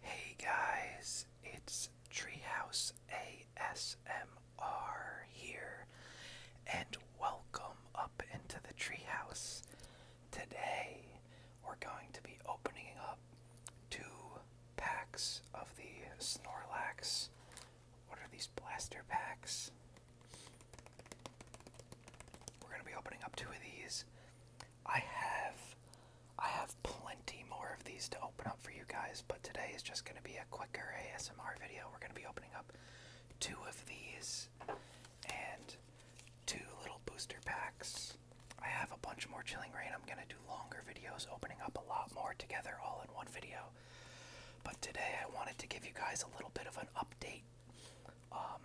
Hey guys, it's Treehouse ASMR here, and welcome up into the treehouse. Today, we're going to be opening up two packs of the Snorlax. What are these blaster packs? We're gonna be opening up two of these. I have I have plenty more of these to open up for you guys, but today is just gonna be a quicker ASMR video. We're gonna be opening up two of these and two little booster packs. I have a bunch more chilling rain. I'm gonna do longer videos opening up a lot more together all in one video. But today I wanted to give you guys a little bit of an update um,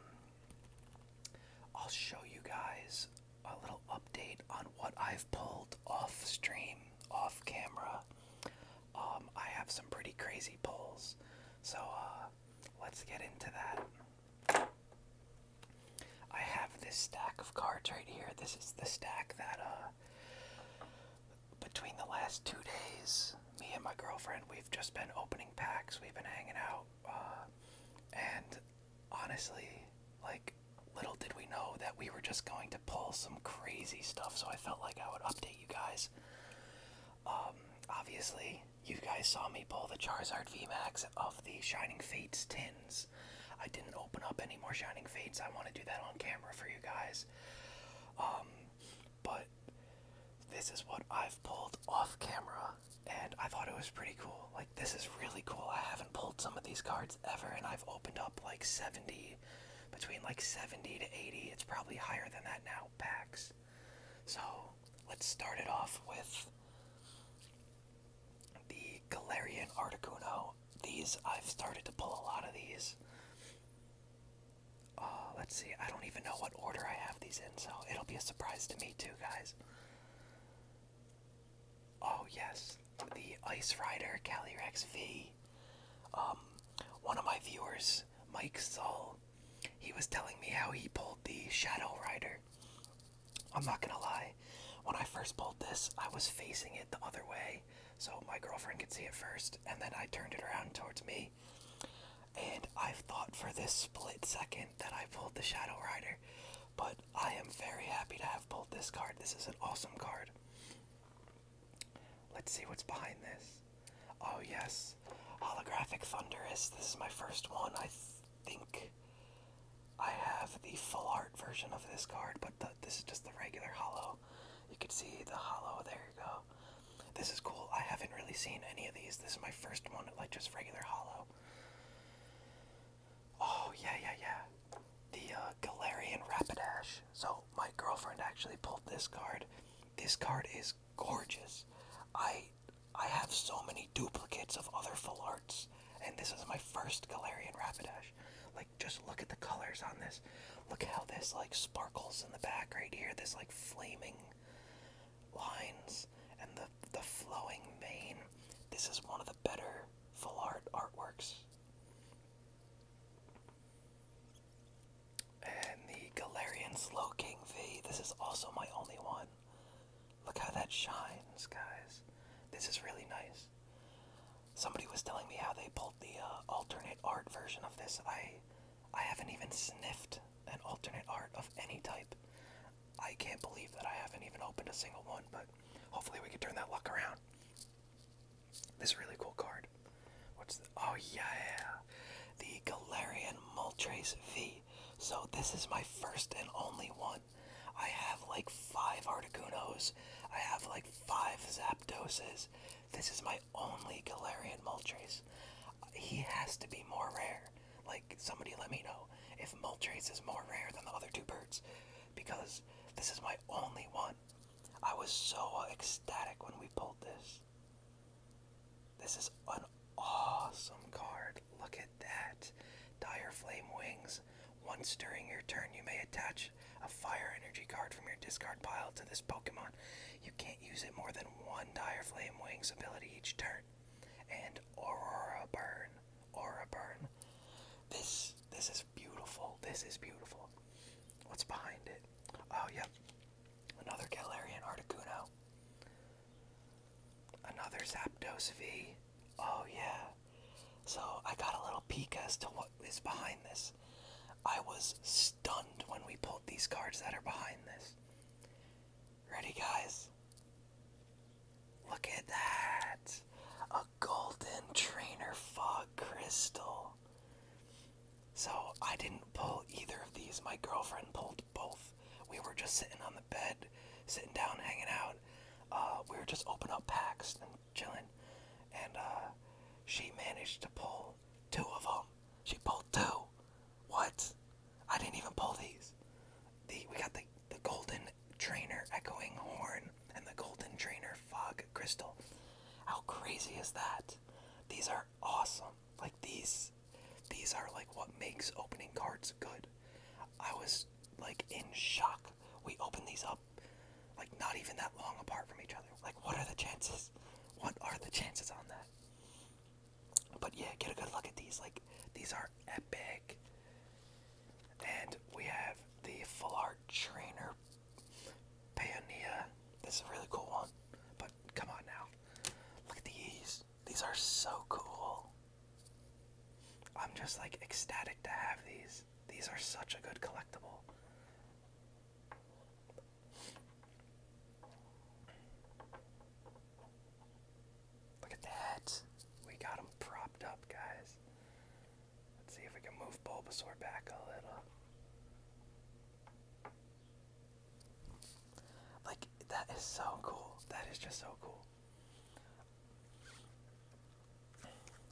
I'll show you guys a little update on what I've pulled off stream, off camera. Um, I have some pretty crazy pulls, so uh, let's get into that. I have this stack of cards right here. This is the stack that, uh, between the last two days, me and my girlfriend, we've just been opening packs. We've been hanging out. Uh, and honestly, like, little did we know that we were just going to pull some crazy stuff, so I felt like I would update you guys. Um, obviously, you guys saw me pull the Charizard VMAX of the Shining Fates tins. I didn't open up any more Shining Fates. I want to do that on camera for you guys. Um, but this is what I've pulled off camera, and I thought it was pretty cool. Like, this is really cool. I haven't pulled some of these cards ever, and I've opened up like 70, between like 70 to 80. It's probably higher than that now, packs. So, let's start it off with the Galarian Articuno. These, I've started to pull a lot of these. Uh, let's see, I don't even know what order I have these so it'll be a surprise to me too, guys. Oh yes, the Ice Rider Kelly Rex V. Um, one of my viewers, Mike Sol, he was telling me how he pulled the Shadow Rider. I'm not gonna lie, when I first pulled this, I was facing it the other way, so my girlfriend could see it first, and then I turned it around towards me, and i thought for this split second that I pulled the Shadow Rider, but I am very happy to have pulled this card. This is an awesome card. Let's see what's behind this. Oh, yes. Holographic Thunderous. This is my first one. I think I have the full art version of this card, but this is just the regular hollow. You can see the hollow. There you go. This is cool. I haven't really seen any of these. This is my first one, like just regular hollow. Oh yeah, yeah, yeah. The uh, Galarian Rapidash. So my girlfriend actually pulled this card. This card is gorgeous. I I have so many duplicates of other full arts, and this is my first Galarian Rapidash. Like just look at the colors on this. Look how this like sparkles in the back right here. This like flaming lines and the the flowing mane. This is one of the better full art artworks. And the Galarian Slowking V. This is also my only one. Look how that shines, guys. This is really nice. Somebody was telling me how they pulled the uh, alternate art version of this. I I haven't even sniffed an alternate art of any type. I can't believe that I haven't even opened a single one, but hopefully we can turn that luck around. This really cool card. What's the oh yeah. The Galarian Moltres V. So this is my first and only one. I have like five Articunos. I have like five Zapdoses. This is my only Galarian Moltres. He has to be more rare. Like, somebody let me know if Moltres is more rare than the other two birds, because this is my only one. I was so ecstatic when we pulled this. This is an awesome card. Look at that. Dire Flame Wings. Once during your turn, you may attach a fire energy card from your discard pile to this Pokemon. You can't use it more than one Dire Flame Wings ability each turn and Aurora Burn. Aura Burn. This this is beautiful. This is beautiful. What's behind it? Oh yep. Another Galarian Articuno. Another Zapdos V. Oh yeah. So I got a little peek as to what is behind this. I was stunned when we pulled these cards that are behind this. Ready, guys? Look at that! A golden trainer fog crystal. So, I didn't pull either of these. My girlfriend pulled both. We were just sitting on the bed, sitting down, hanging out. Uh, we were just opening up packs and chilling. And uh, she managed to pull two of them. She pulled two. What? I didn't even pull these. The we got the the golden trainer echoing horn and the golden trainer fog crystal. How crazy is that? These are awesome. Like these these are like what makes opening cards good. I was like in shock. We opened these up like not even that long apart from each other. Like what are the chances? What are the chances on that? But yeah, get a good look at these. Like these are epic. And we have the full art trainer Payoneer. This is a really cool one. But come on now. Look at these. These are so cool. I'm just like ecstatic to have these. These are such a good collectible. Look at that. We got him propped up, guys. Let's see if we can move Bulbasaur back a little. Like, that is so cool. That is just so cool.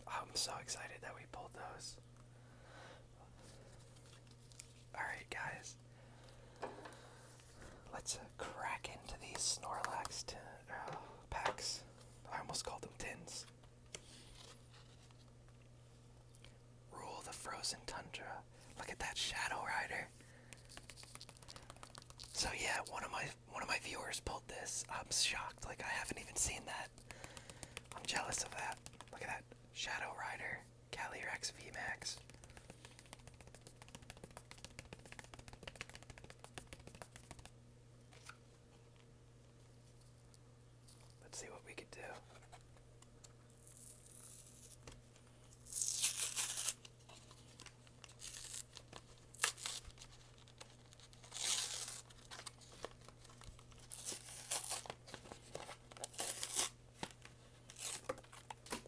I'm so excited that we pulled those. Alright, guys. Let's uh, crack into these Snorlax tin, uh, packs. I almost called them tins. Rule the frozen tundra. Look at that Shadow Rider. So yeah, one of my one of my viewers pulled this. I'm shocked. Like I haven't even seen that. I'm jealous of that. Look at that Shadow Rider. Calyrex VMAX. Let's see what we could do.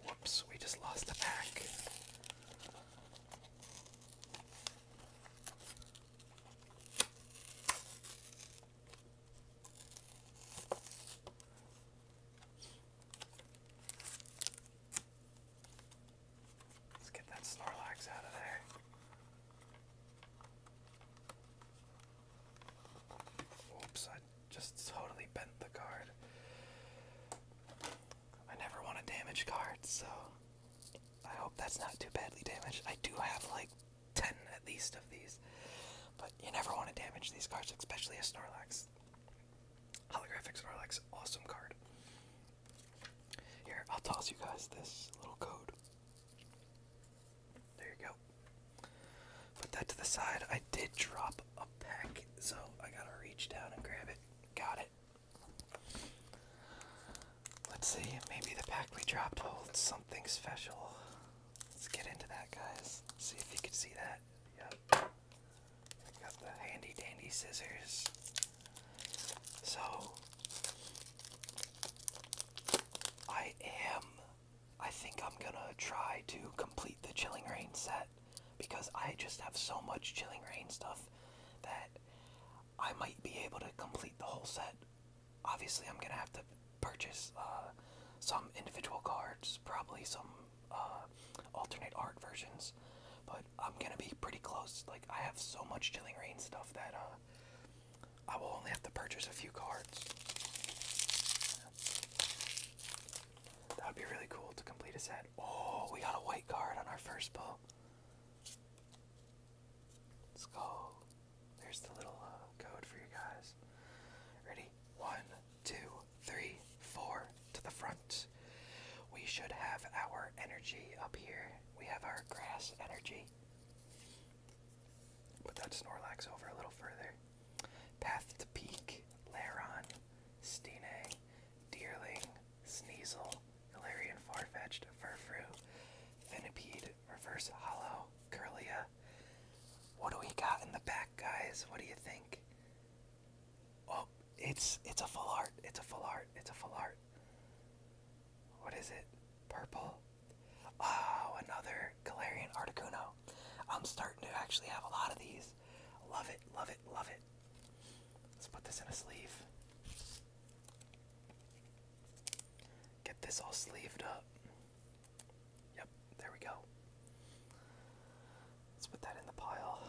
Whoops, we just lost the pack. Let's get that Snorlax out of there. Oops, just totally bent the card. I never want to damage cards, so I hope that's not too badly damaged. I do have like 10 at least of these, but you never want to damage these cards, especially a Snorlax. Holographic Snorlax, awesome card. Here, I'll toss you guys this little code. There you go. Put that to the side. I did drop a pack, so I gotta reach down and grab it. Got it. Let's see, maybe the pack we dropped holds something special. Let's get into that, guys. See if you can see that. Yep. I got the handy dandy scissors. So, I am I think I'm gonna try to complete the Chilling Rain set because I just have so much Chilling Rain stuff that I might be able to complete the whole set. Obviously, I'm gonna have to purchase uh, some individual cards, probably some uh, alternate art versions, but I'm gonna be pretty close. Like, I have so much Chilling Rain stuff that uh, I will only have to purchase a few cards. That would be really cool to complete a set. Oh, we got a white card on our first pull. Let's go. There's the little uh, code for you guys. Ready? One, two, three, four to the front. We should have our energy up here. We have our grass energy. Put that Snorlax over a little further. Path to Peak, Laron, Stine, Deerling, Sneasel, Galarian Farfetch'd, Furfru, Finnipede, Reverse Hollow, Curlia. What do we got in the back, guys? What do you think? Oh, it's it's a full art. It's a full art. It's a full art. What is it? Purple. Oh, another Galarian Articuno. I'm starting to actually have a lot of these. Love it, love it, love it. Let's put this in a sleeve. Get this all sleeved up. Yep, there we go. Let's put that in the pile.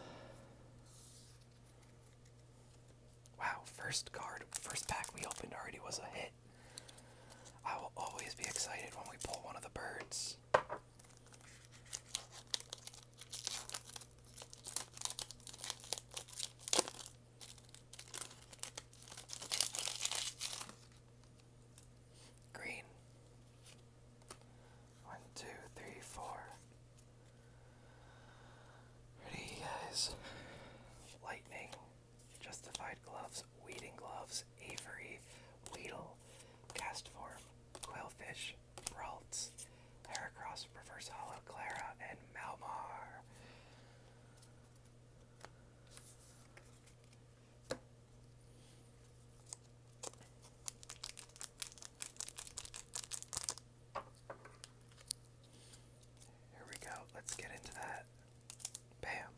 Wow, first card, first pack we opened already was a hit. I will always be excited when we pull one of the birds. Green. One, two, three, four. Ready, guys. Lightning. Justified gloves. Weeding gloves. Avery. Weedle. Cast form. Quillfish, Ralts, Heracross, Reverse Hollow, Clara, and Malmar. Here we go. Let's get into that. Bam.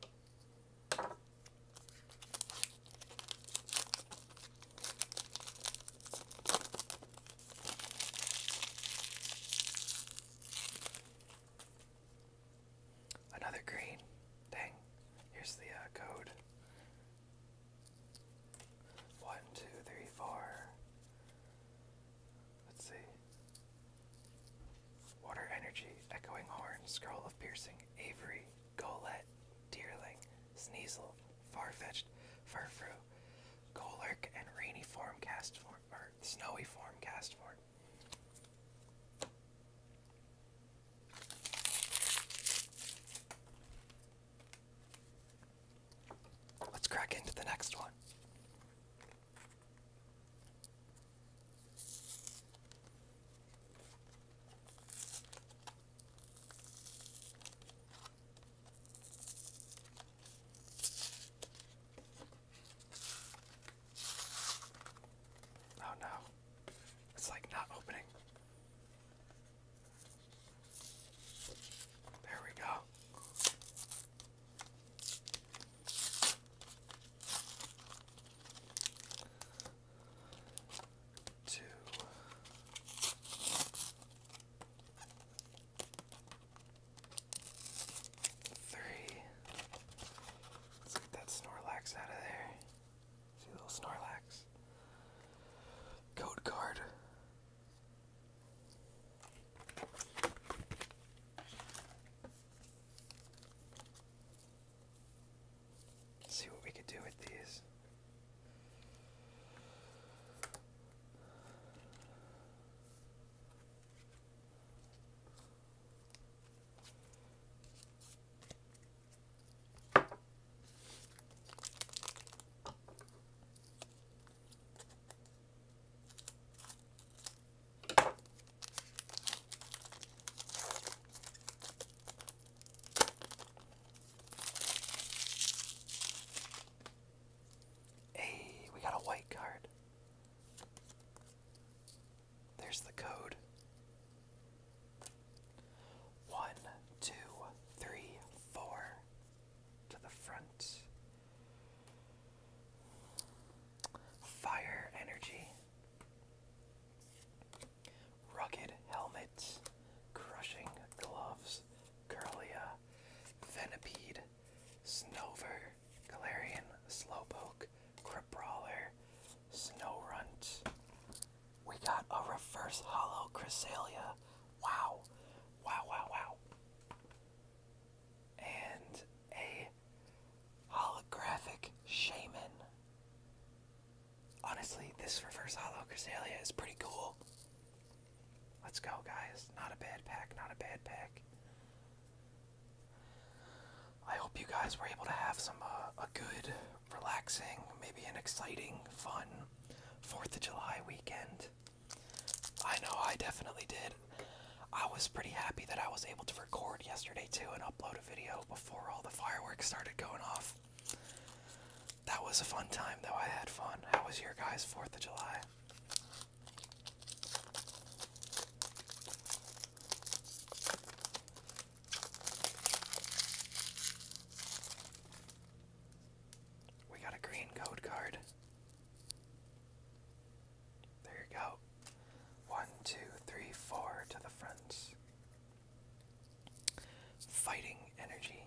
Another green. Dang. Here's the uh, code. One, two, three, four. Let's see. Water energy, echoing horn, scroll of piercing, Avery, Golette, Deerling, Sneasel, Farfetch'd, Furfru, Golurk, and Rainy Form or Snowy Form cast Let's crack into the next one. Oh no. It's like not opening. There we go to 3 get that Snorlax out of there. See little Snorlax. Code card. Let's see what we could do with these. Hey, we got a white card. There's the code. One, two, three, four. To the front. Fire energy. Rugged helmets, crushing gloves, Curlia, uh, Venipede, Snover, Galarian, Slowpoke, Crabrawler, Snowrunt. We got a reverse hollow Cresselia. Wow. Wow, wow, wow. And a holographic shaman honestly, this reverse hollow Cresselia is pretty cool. Let's go, guys. Not a bad pack, not a bad pack. I hope you guys were able to have some uh, a good, relaxing, maybe an exciting, fun 4th of July weekend. I know I definitely did. I was pretty happy that I was able to record yesterday too and upload a video before all the fireworks started going off. That was a fun time, though. I had fun. How was your guys' 4th of July? We got a green code card. There you go. One, two, three, four to the friends. Fighting Energy,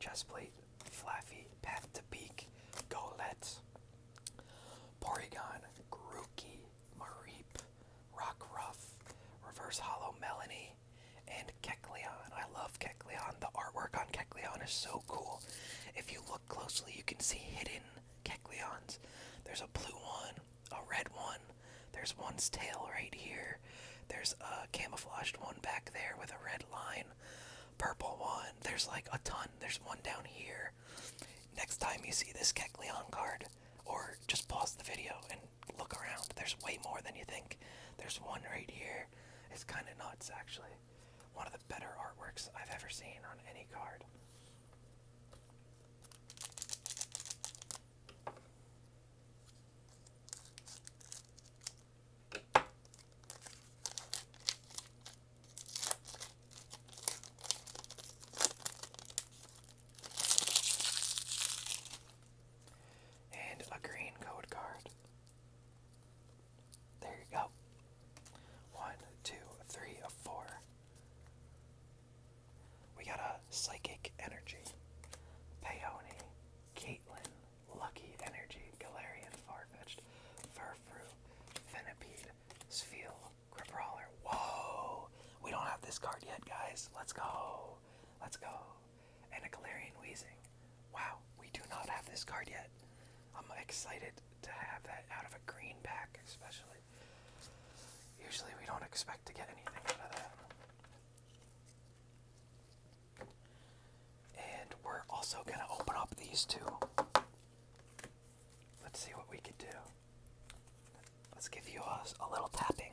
Chestplate, Flaffy, Path to Peak, Golette, Porygon, Grookey, Mareep, Rockruff, Reverse Hollow Melanie, and Kecleon. I love Kecleon. The artwork on Kecleon is so cool. If you look closely, you can see hidden Kecleons. There's a blue one, a red one. There's one's tail right here. There's a camouflaged one back there with a red line. Purple one. There's like a ton. There's one down here. Next time you see this Kecleon card, or just pause the video and look around. There's way more than you think. There's one right here. It's kind of nuts, actually. One of the better artworks I've ever seen on any card. And a green code card. There you go. One, two, three, four. We got a Psychic Energy, Peony, Caitlyn, Lucky Energy, Galarian Farfetch'd, Furfru, Venipede, Sfeel, Crabrawler. Whoa! We don't have this card yet, guys. Let's go! Let's go! And a Galarian Weezing. Wow, we do not have this card yet. I'm excited to have that out of a green pack, especially. Usually we don't expect to get anything out of that. And we're also going to open up these two. Let's see what we could do. Let's give you a, a little tapping.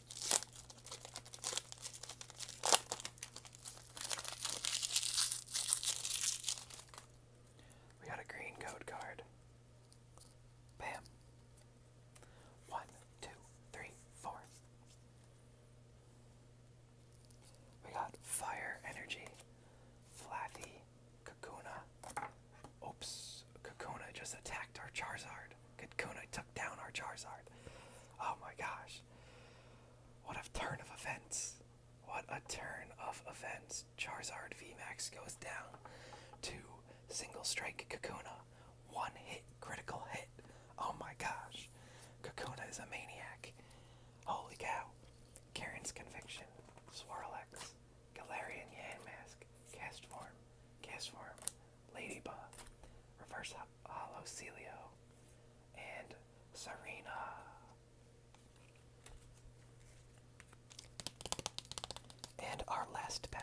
We got a green code card. Bam. One, two, three, four. We got Fire Energy, Flathy, Kakuna. Oops, Kakuna just attacked our Charizard. Could took down our Charizard? Oh my gosh. What a turn of events. What a turn of events. Charizard Max goes down to single strike Kakuna. One hit, critical hit. Oh my gosh. Kakuna is a maniac. Holy cow. Karen's Conviction. Swirlex. Galarian Yanmask. Cast Form. Cast Form. Ladybug, Reverse up, Holocelio, and Serena. And our last pack.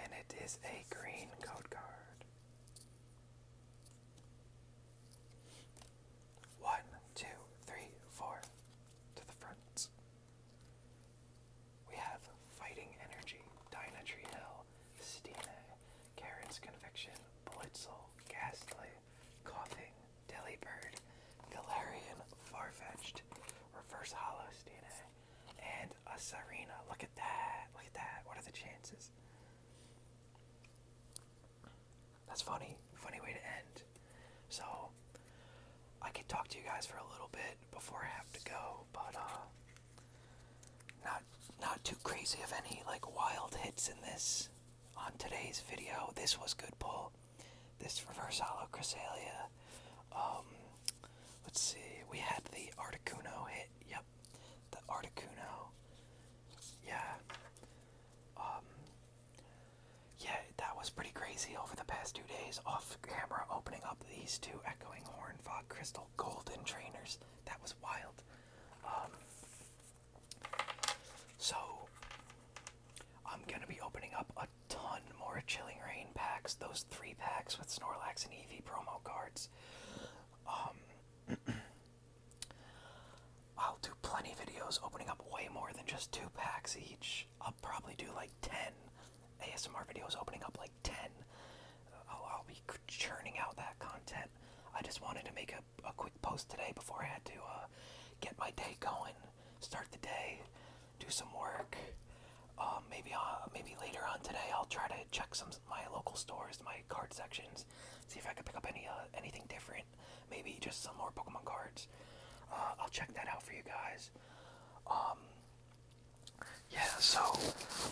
And it is a green code card. One, two, three, four. To the front. We have Fighting Energy, Dinah Hill, Stina, Karen's Conviction, Blitzel, Ghastly, Coughing, Delibird, Galarian, Farfetched, Reverse Hollow Stina, and a Serena. Look at that. Look at that. What are the chances? That's funny. Funny way to end. So, I can talk to you guys for a little bit before I have to go, but uh, not not too crazy of any like wild hits in this on today's video. This was good pull. This reverse hollow Chrysalia. Um, let's see. We had the Articuno hit. Yep, the Articuno. Yeah. Um, yeah, that was pretty crazy over the past two days off camera opening up these two Echoing Horn Fog Crystal Golden Trainers. That was wild. Um, so, I'm going to be opening up a ton more Chilling Rain packs, those three packs with Snorlax and Eevee promo cards. Um, I'll do plenty of videos opening up way more than just two packs each. I'll probably do like 10 ASMR videos opening up like 10. I'll, be churning out that content. I just wanted to make a, a quick post today before I had to uh, get my day going, start the day, do some work. Um, maybe uh, maybe later on today I'll try to check some my local stores, my card sections, see if I can pick up any uh, anything different maybe just some more Pokemon cards. Uh, I'll check that out for you guys. Um, yeah, so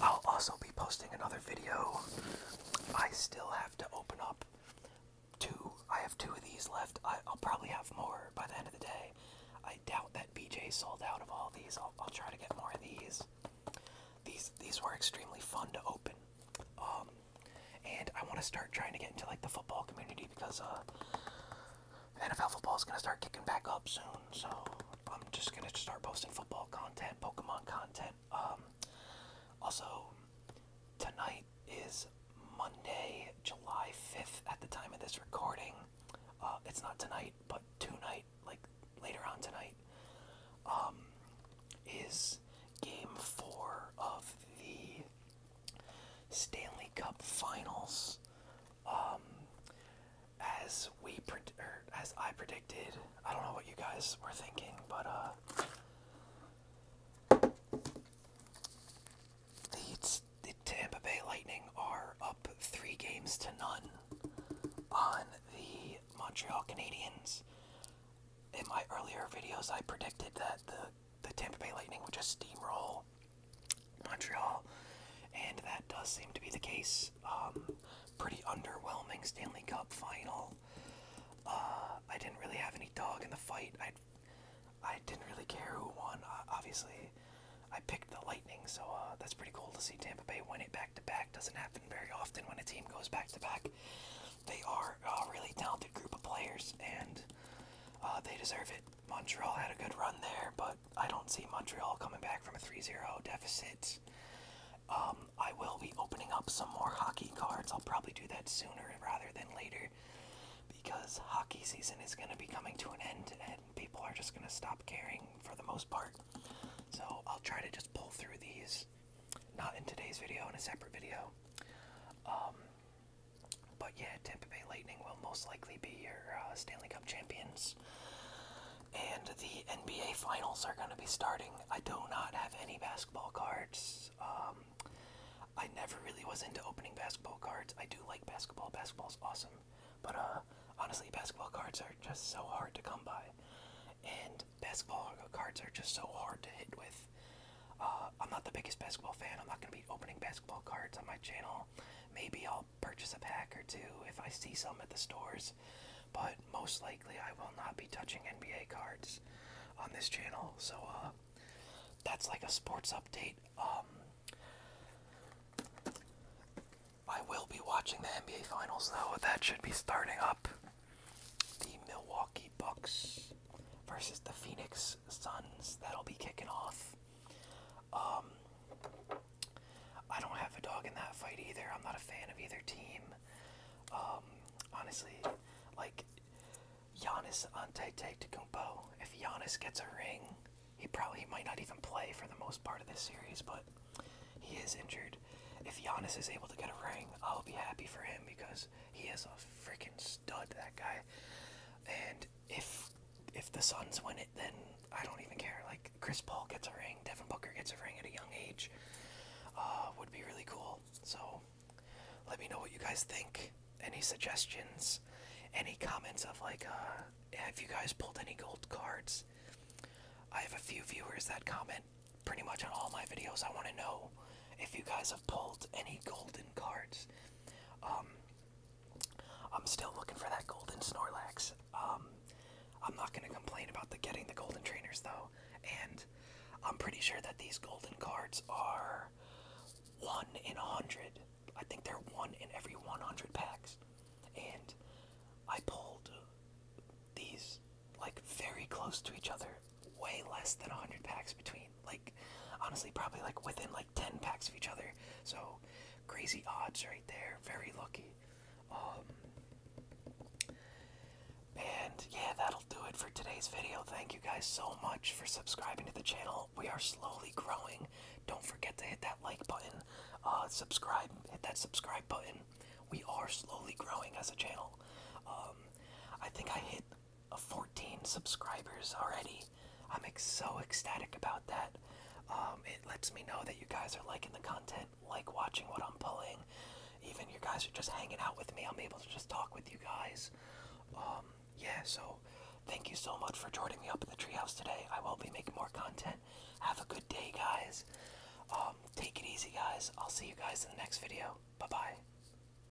I'll also be posting another video. I still have to open up two. I have two of these left. I, will probably have more by the end of the day. I doubt that BJ sold out of all these. I'll, try to get more of these. These these were extremely fun to open. Um, and I want to start trying to get into like the football community because uh, NFL football is gonna start kicking back up soon. So I'm just gonna start posting football content, Pokemon content. Um, also, tonight is Monday, July 5th. At the time of this recording, uh, it's not tonight, but tonight, like later on tonight, um, is Game Four of the Stanley Cup Finals. Um, as we pre as I predicted, I don't know what you guys were thinking, but uh, the, the Tampa Bay Lightning are up three games to none on the Montreal Canadiens. In my earlier videos, I predicted that the the Tampa Bay Lightning would just steamroll Montreal, and that does seem to be the case. Um, pretty underwhelming Stanley Cup final. Uh, I didn't really have any dog in the fight. I I didn't really care who won. Uh, obviously, I picked the Lightning, so uh, that's pretty cool to see Tampa Bay win it back to back. Doesn't happen very often when a team goes back to back. They are a uh, really talented group of players, and uh, they deserve it. Montreal had a good run there, but I don't see Montreal coming back from a 3-0 deficit. Um, I will be opening up some more hockey cards. I'll probably do that sooner rather than later because hockey season is going to be coming to an end and people are just going to stop caring for the most part. So I'll try to just pull through these, not in today's video, in a separate video. Um, but yeah, Tampa Bay Lightning will most likely be your uh, Stanley Cup champions. And the NBA Finals are going to be starting. I do not have any basketball cards. Um, I never really was into opening basketball cards. I do like basketball. Basketball's awesome. But uh, honestly, basketball cards are just so hard to come by. And basketball cards are just so hard to hit with. Uh, I'm not the biggest basketball fan. I'm not going to be opening basketball cards on my channel. Maybe I'll purchase a pack or two if I see some at the stores, but most likely I will not be touching NBA cards on this channel. So uh, that's like a sports update. Um, I will be watching the NBA Finals though. That should be starting up. The Milwaukee Bucks versus the Phoenix Suns that'll be kicking off. Um, I don't have a dog in that fight either. I'm not a fan of either team. Um, honestly, like Giannis Antetokounmpo. If Giannis gets a ring, he probably might not even play for the most part of this series, but he is injured. If Giannis is able to get a ring, I'll be happy for him because he is a freaking stud that guy. And if if the Suns win it, then I don't even care. Like Chris Paul gets a ring, Devin Booker gets a ring at a young age. Uh, would be really cool. So let me know what you guys think. Any suggestions? Any comments of like, uh, have you guys pulled any gold cards? I have a few viewers that comment pretty much on all my videos. I want to know if you guys have pulled any golden cards. Um, I'm still looking for that golden Snorlax. Um, I'm not going to complain about the getting the golden trainers though, and I'm pretty sure that these golden cards are one in a hundred. I think they're one in every 100 packs, and I pulled these like very close to each other way less than 100 packs between, like, honestly, probably like within like 10 packs of each other. So crazy odds right there. Very lucky. Um, and yeah, that'll do it for today's video. Thank you guys so much for subscribing to the channel. We are slowly growing. Don't forget to hit that like button, uh, subscribe, hit that subscribe button. We are slowly growing as a channel. Um, I think I hit 14 subscribers already. I'm so ecstatic about that. Um, it lets me know that you guys are liking the content, like watching what I'm pulling. Even you guys are just hanging out with me. I'm able to just talk with you guys. Um, yeah, so thank you so much for joining me up at the treehouse today. I will be making more content. Have a good day, guys. Um, take it easy, guys. I'll see you guys in the next video. Bye-bye.